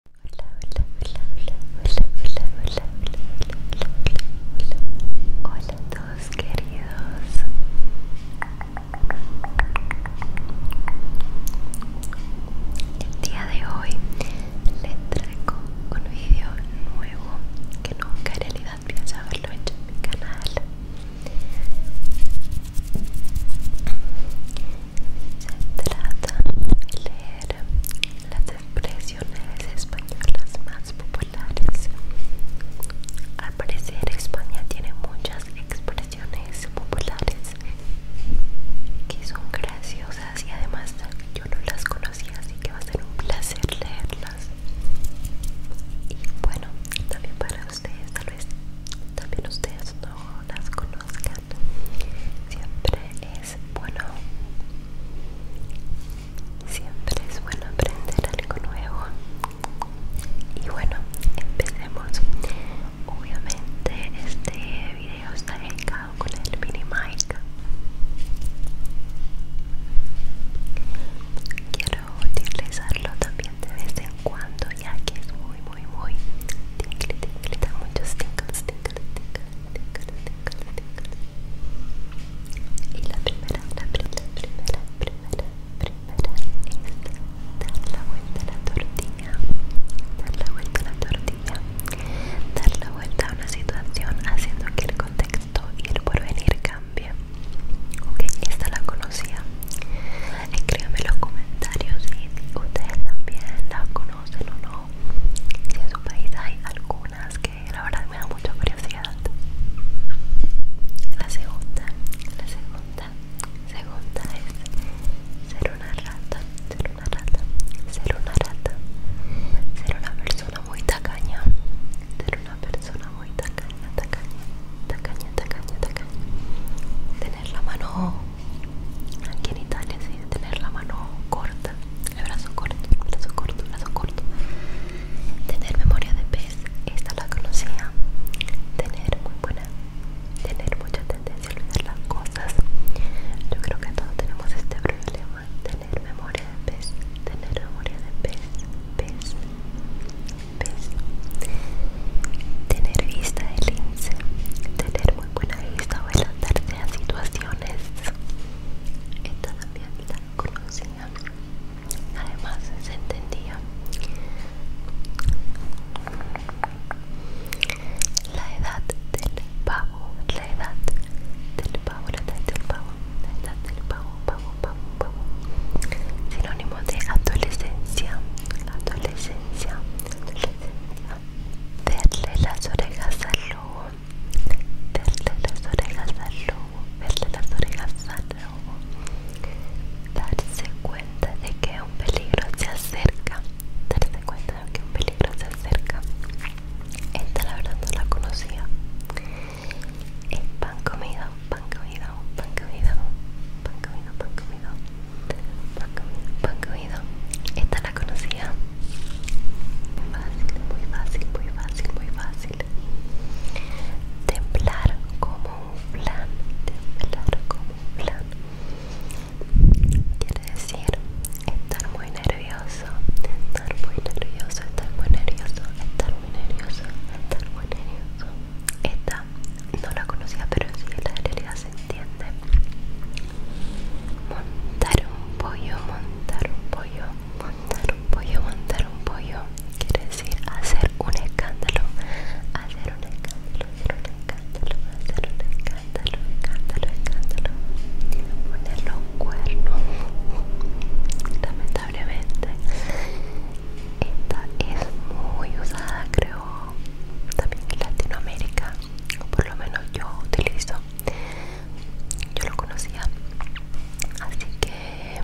hola, hola hola, hola, hola... Hola hola, a todos queridos. El día de hoy les traigo un vídeo nuevo que nunca en realidad hola, haberlo hecho en mi canal se Trata de leer las expresiones españolas más populares. Al parecer España tiene muchas expresiones populares que son graciosas y además yo no las conocía así que va a ser un placer leerlas. Y bueno, también para ustedes, tal vez también ustedes no las conozcan siempre es bueno siempre es bueno aprender algo nuevo y bueno empecemos obviamente este video está dedicado con el mini mic quiero utilizarlo también de vez en cuando ya que es muy, muy, muy tingle, tingle, da muchos tingles, tingles, tingles, tingles, tingles, Y la primera, la primera, primera, primera, primera es dar la vuelta a la tortilla, dar la vuelta a la tortilla, dar la vuelta a una situación haciendo que el contexto y el porvenir cambie. Ok, esta la conocía. Escríbame en los comentarios si ustedes también la conocen no o no. Si en su país hay algunas que la verdad me da mucha curiosidad. La segunda, la segunda, segunda es ser una rata, ser una rata, ser una rata, ser una persona muy tacaña, ser una persona muy tacaña, tacaña, tacaña, tacaña, tacaña. Tener la mano Aquí en Italia sí, tener la mano corta, el brazo corto, el brazo corto, el brazo corto. Tener memoria de pez, esta la conocía. Tener muy buena, tener mucha tendencia a olvidar las cosas. Yo creo que todos tenemos este problema. Tener memoria de pez, tener memoria de pez, pez, pez. Tener vista de lince, tener muy buena vista o las a situaciones. Esta también la conocía. Además se entendía. La edad del pavo, la edad del pavo, la edad del pavo, la edad del pavo, pavo, pavo, Sinónimo de adolescencia adolescencia, las orejas al lobo, verle las orejas al lobo, verle las orejas al lobo, darse cuenta de que un peligro se acerca, darse cuenta de que un peligro se acerca. Esta la verdad no la conocía. Es eh, pan comido, pan comida, pan comida, pan comida, pan comida. Pancomido, esta la conocía. Muy fácil, muy fácil, muy fácil, muy fácil. Temblar como un plan, temblar como un plan. Quiere decir estar muy nervioso, estar muy nervioso, estar muy nervioso, estar muy nervioso, estar muy nervioso. Esta no la conocía, pero en sí la realidad se entiende. Montar un pollo, montar un pollo, montar un pollo, montar un pollo. Quiere decir hacer un escándalo, hacer un escándalo, hacer un escándalo, hacer un escándalo, escándalo, escándalo. Poner los cuernos. Lamentablemente, esta es muy usada, creo, también en Latinoamérica, o por lo menos yo utilizo, yo lo conocía, así que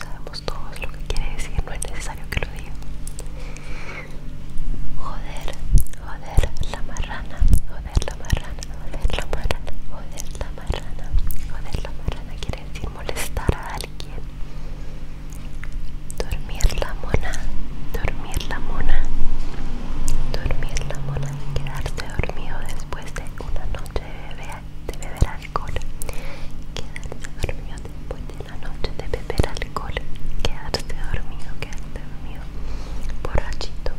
sabemos todos lo que quiere decir, no es necesario que lo diga. Joder, joder la marrana, joder la marrana, joder la marrana, joder la marrana, joder la marrana quiere decir molestar a alguien dormir la mona, dormir la mona, dormir la mona, quedarse dormido después de una noche de beber, alcohol, quedarse dormido después de una noche de beber alcohol, quedarse dormido, quedarse dormido, borrachito,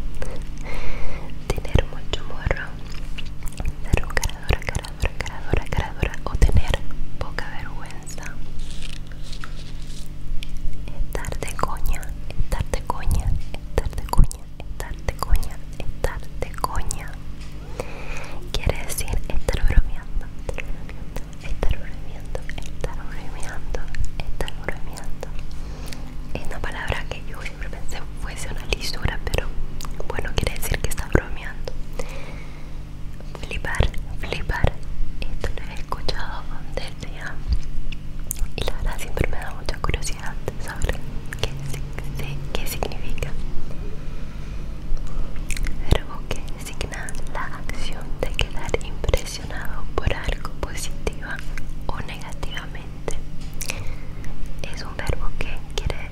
tener mucho morro, dar un o tener poca vergüenza. Estar de coña, estar de coña, estar de coña, estar de coña, estar de coña. Quiere decir estar bromeando, estar bromeando, estar bromeando, estar bromeando. Es una palabra que yo siempre pensé fuese una lisura, pero bueno, quiere decir que está bromeando. Flipar, flipar. Esto lo he escuchado desde ya. Y la verdad siempre me da mucha curiosidad saber qué, significa. Verbo que significa la acción de quedar impresionado por algo positiva o negativamente. Es un verbo que quiere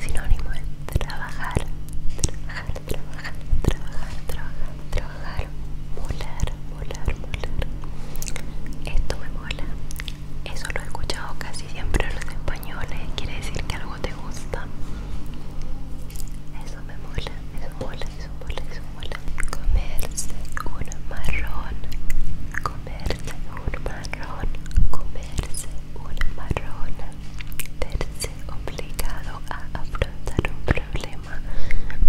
Sinónimo de trabajar, trabajar, trabajar, trabajar, trabajar, trabajar, molar, molar, molar. Esto me mola. Eso lo he escuchado casi siempre en los españoles. Quiere decir que algo te gusta. Eso me mola, eso mola, eso mola, eso mola. Comerse un marrón, comerse un marrón, Terse una marrona, obligado a afrontar un problema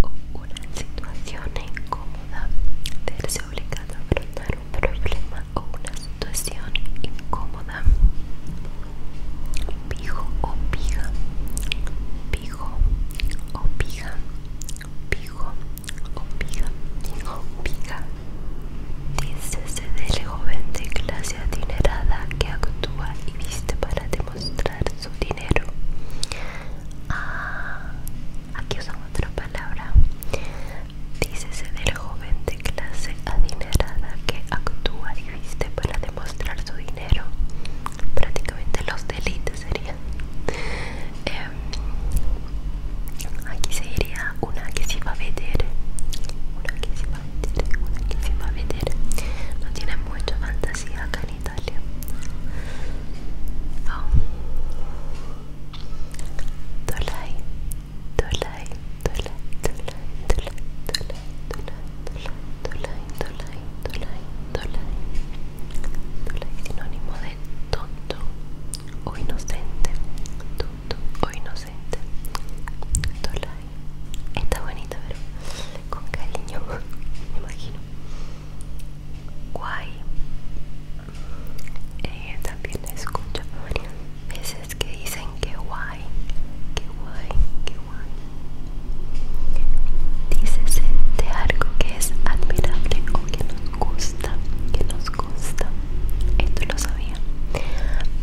o una situación incómoda, obligado a afrontar un problema o una situación incómoda. Pijo o pija. pijo o pijo Opiga, de Dícese del joven de clase adinerada que actúa y viste para demostrar su dinero. Ah, aquí usan otra palabra. Dícese del joven de clase adinerada que actúa y viste para demostrar su dinero. Prácticamente los delitos serían aquí sería una que se va a ver una que se va a ver una que se va a vender no tiene mucha fantasía acá en Italia Dolai Dolai Dolai Dolai Dolai Dolai Dolai Dolai Dolai Dolai Dolai sinónimo de tonto o inocente, tonto o inocente, Está bonita, pero con cariño, me imagino. Guay. Eh, también escucho veces que dicen que guay, que guay, que guay. Dice de algo que es admirable o que nos gusta, que nos consta Esto lo sabía.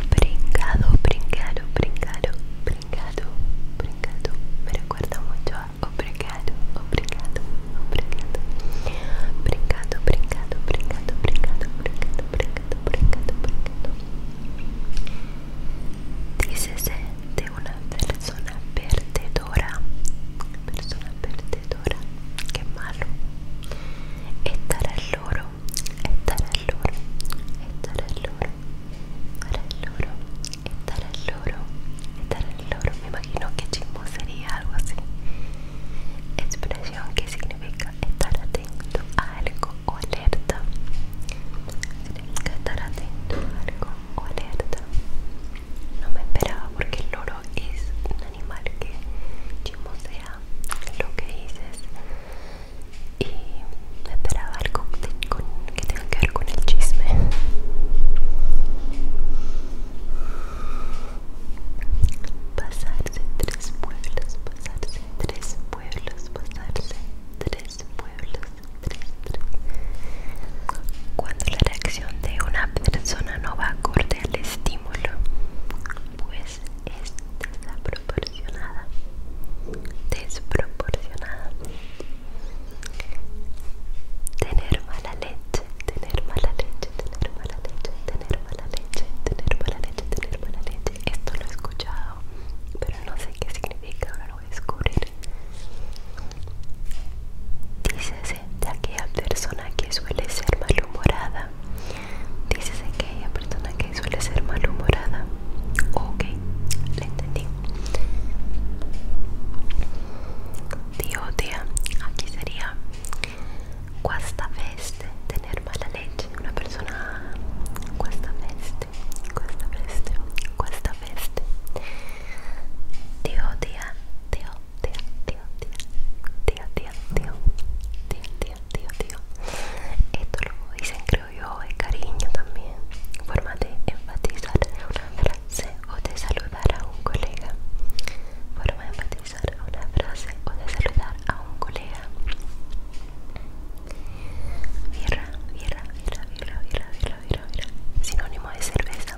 Brincado, brincado, brincado, brincado, brincado. Me recuerda mucho a obrigado, obrigado, obrigado. Brincado, brincado, brincado, brincado, brincado, brincado, brincado, de una persona verde perdedora, persona perdedora, qué malo. Estar al loro, estar al loro, estar al loro, estar al loro, estar al loro, Me imagino que chismo sería algo así. Expresión que significa estar atento a algo o alerta. Significa estar atento algo o alerta no me esperaba porque el loro es un animal que chimosea lo que dices y me esperaba algo que tenga que ver con el chisme pasarse tres pueblos pasarse tres pueblos pasarse tres pueblos tres, tres. cuando la reacción de una persona no va acorde al estímulo, pues es desproporcionada. Desproporcionada. Tener mala leche, tener mala leche, tener mala leche, tener mala leche, tener mala leche, tener mala leche. Esto lo he escuchado, pero no sé qué significa, ahora lo voy a descubrir de aquella persona que suele ser malhumorada. Dices aquella persona que suele ser malhumorada. Ok, la entendí. te odia aquí sería cuesta veste tener mala leche. Una persona cuesta veste, cuesta veste, cuesta veste. te odia tío, tío, tío, tío, tío, tío, tío, tío, tío. Esto lo dicen, creo yo, es cariño también. Forma de enfatizar una frase o de saludar a un colega. Forma de enfatizar una frase o de saludar a un colega. Mira, mira, Sinónimo de cerveza.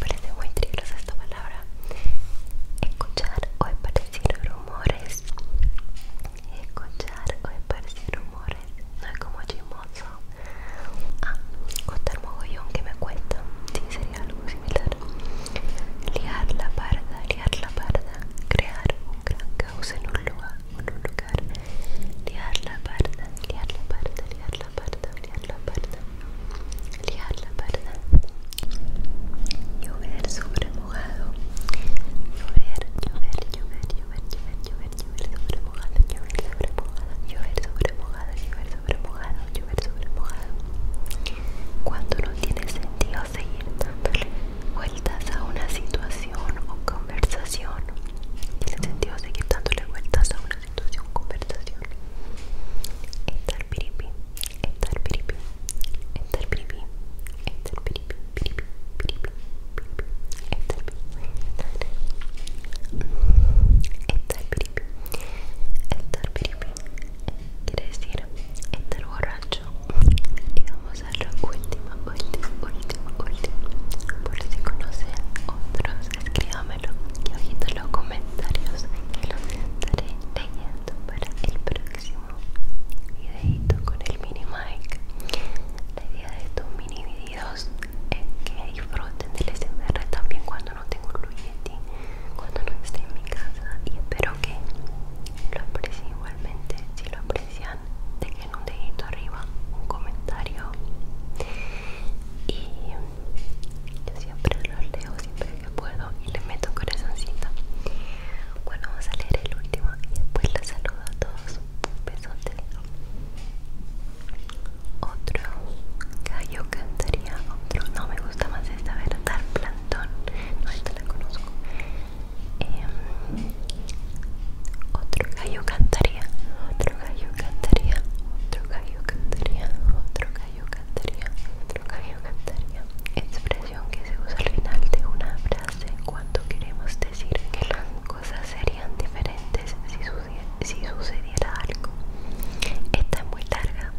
parece muy triglosa esta palabra escuchar o esparcir rumores escuchar o esparcir rumores no es como chismoso ah, contar mogollón que me cuentan sí, sería algo similar liar la parda, liar la parda crear un gran caos en un lugar en un lugar liar la parda, liar la parda, liar la parda, liar la parda liar la verdad llover sobre mojado llover llover llover llover llover llover sobre mojado llover sobre mojado llover sobre mojado llover cuando no tiene sentido seguir vueltas a una situación o conversación tiene sentido seguir dándole vueltas a una situación o conversación estar piripi estar piripi, estar piripi, estar piripi, piripi, piripi, piripi, estar piripi, estar piripi, estar piripi, quiere decir estar borracho. Y vamos a la última, última, última, última. Por si conocen otros, escríbamelo y ojito en los comentarios que los estaré para el próximo videito con el mini mic la idea de estos mini videos es que disfruten del SMR también cuando no tengo lujete cuando no esté en mi casa y espero que lo aprecien igualmente si lo aprecian dejen un dedito arriba un comentario y yo siempre los leo siempre que puedo y le meto un corazoncito. Bueno, vamos a leer el último y después les saludo a todos. besote Otro gallo cantaría otro. No me gusta más esta verdad, plantón. No, esta la conozco. Em, otro gallo cantaría, otro gallo cantaría, otro gallo cantaría, otro gallo expresión que se usa al final de una frase cuando queremos decir que las cosas serían diferentes si, sucediera, algo. Esta es muy larga.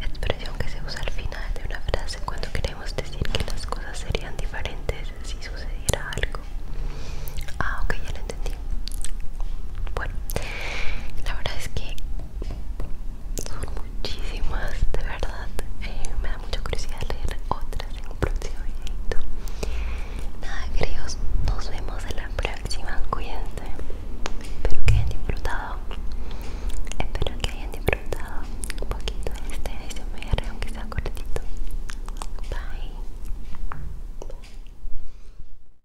Expresión que se usa al final de una frase cuando queremos decir que las cosas serían diferentes si sucediera algo. Ah, ok, bueno, la verdad es que son muchísimas, de verdad. Eh, me da mucha curiosidad leer otras en un próximo videito. Nada, queridos, nos vemos en la próxima. Cuídense. Espero que hayan disfrutado. Espero que hayan disfrutado un poquito de este ASMR, aunque sea cortito. Bye.